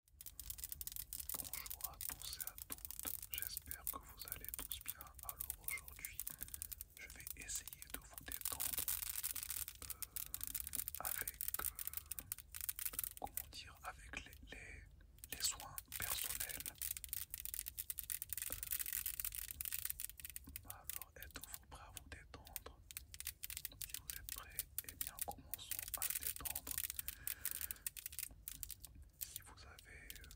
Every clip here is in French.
Bonjour à tous et à toutes, j'espère que vous allez tous bien. Alors aujourd'hui, je vais essayer de vous détendre euh, avec, euh, comment dire, avec les, soins personnels. Euh, alors êtes-vous prêt à vous détendre vous êtes prêts, eh bien commençons à détendre. Si vous avez euh,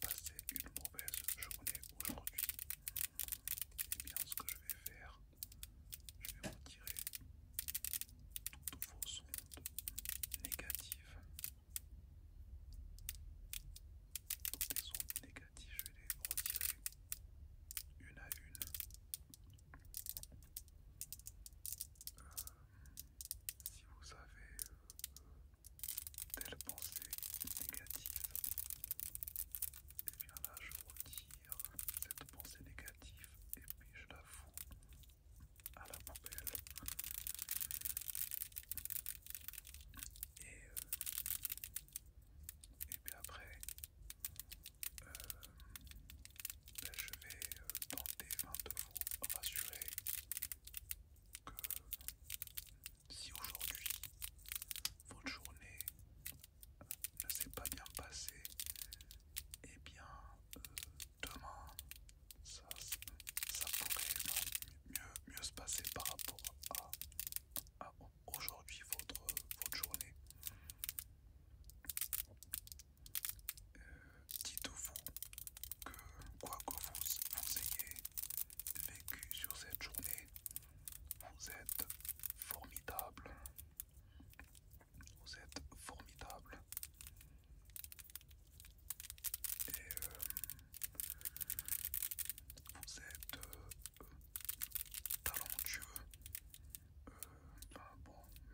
passé une mauvaise journée aujourd'hui, et eh bien ce que je vais faire, je vais retirer toutes vos sondes négatives. Toutes les ondes négatives, je vais les retirer une à une si vous avez euh, telle pensée négative, et eh là je retire cette pensée négative et puis je la fous à la poubelle. Et, euh, et puis après, euh, ben, je vais euh, tenter de vous rassurer que si aujourd'hui votre journée euh, ne s'est pas bien passée, et eh bien demain ça, pourrait mieux, se passer par rapport à, aujourd'hui votre, votre journée. Euh, dites-vous que quoi que vous, vous ayez vécu sur cette journée, vous êtes formidable. Vous êtes formidable. Et euh, vous êtes euh, talentueux. Euh,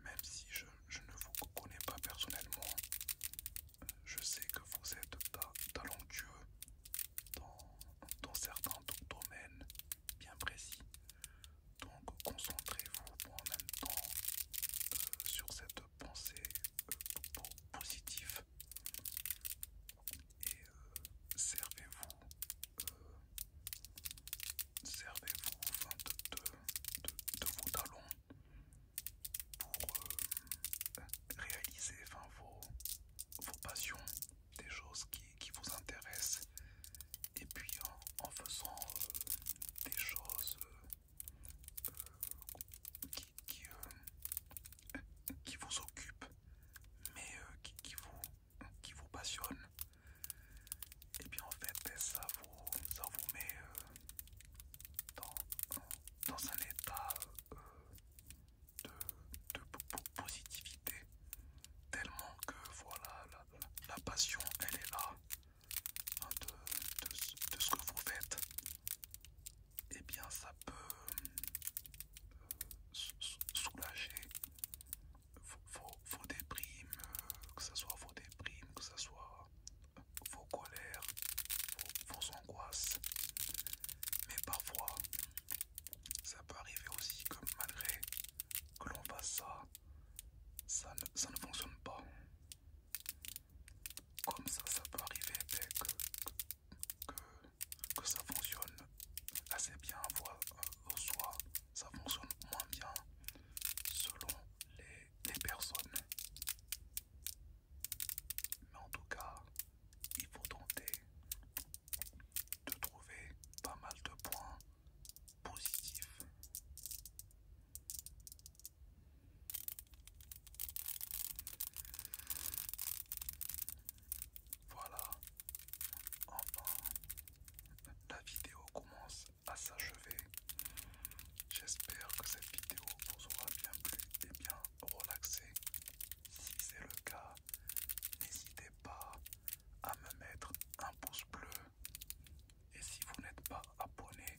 même si je, ne vous connais pas personnellement, euh, je sais que vous êtes talentueux dans, certains domaines bien précis. Donc concentrez-vous en même temps euh, sur cette pensée positive et euh, servez-vous euh, servez-vous de, vos talons pour euh, réaliser vos, passions, des choses qui, vous intéressent et puis en, faisant des choses qui vous occupent mais euh, qui, vous, passionne, et bien en fait ben, ça vous, ça vous met euh, dans, un état euh, de, positivité, tellement que voilà, la, passion elle est là hein, de ce que vous faites et eh bien ça peut euh, soulager vos, déprimes, euh, que ce soit vos déprimes, que ce soit vos euh, colères, vos, angoisses. Mais parfois, ça peut arriver aussi que malgré que l'on fasse ça, ça ne, ça ne fonctionne pas. Comme ça, ça peut arriver avec que, ça fonctionne assez bien, voire euh, soi, soit ça fonctionne moins bien selon les personnes. Mais en tout cas, il faut tenter de trouver pas mal de points positifs. Voilà, enfin, la vidéo commence à s'achever. J'espère que cette vidéo vous aura bien plu et bien relaxé. Si c'est le cas, n'hésitez pas à me mettre un pouce bleu. Et si vous n'êtes pas abonné,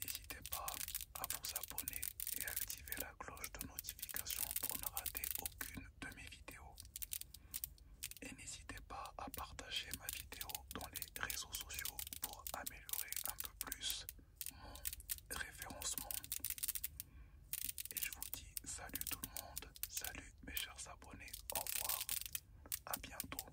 N'hésitez pas à vous abonner et activer la cloche de notification pour ne rater aucune de mes vidéos. Et n'hésitez pas à partager ma vidéo dans les réseaux sociaux pour améliorer un peu plus mon référencement. Et je vous dis salut tout le monde, salut mes chers abonnés, au revoir, à bientôt.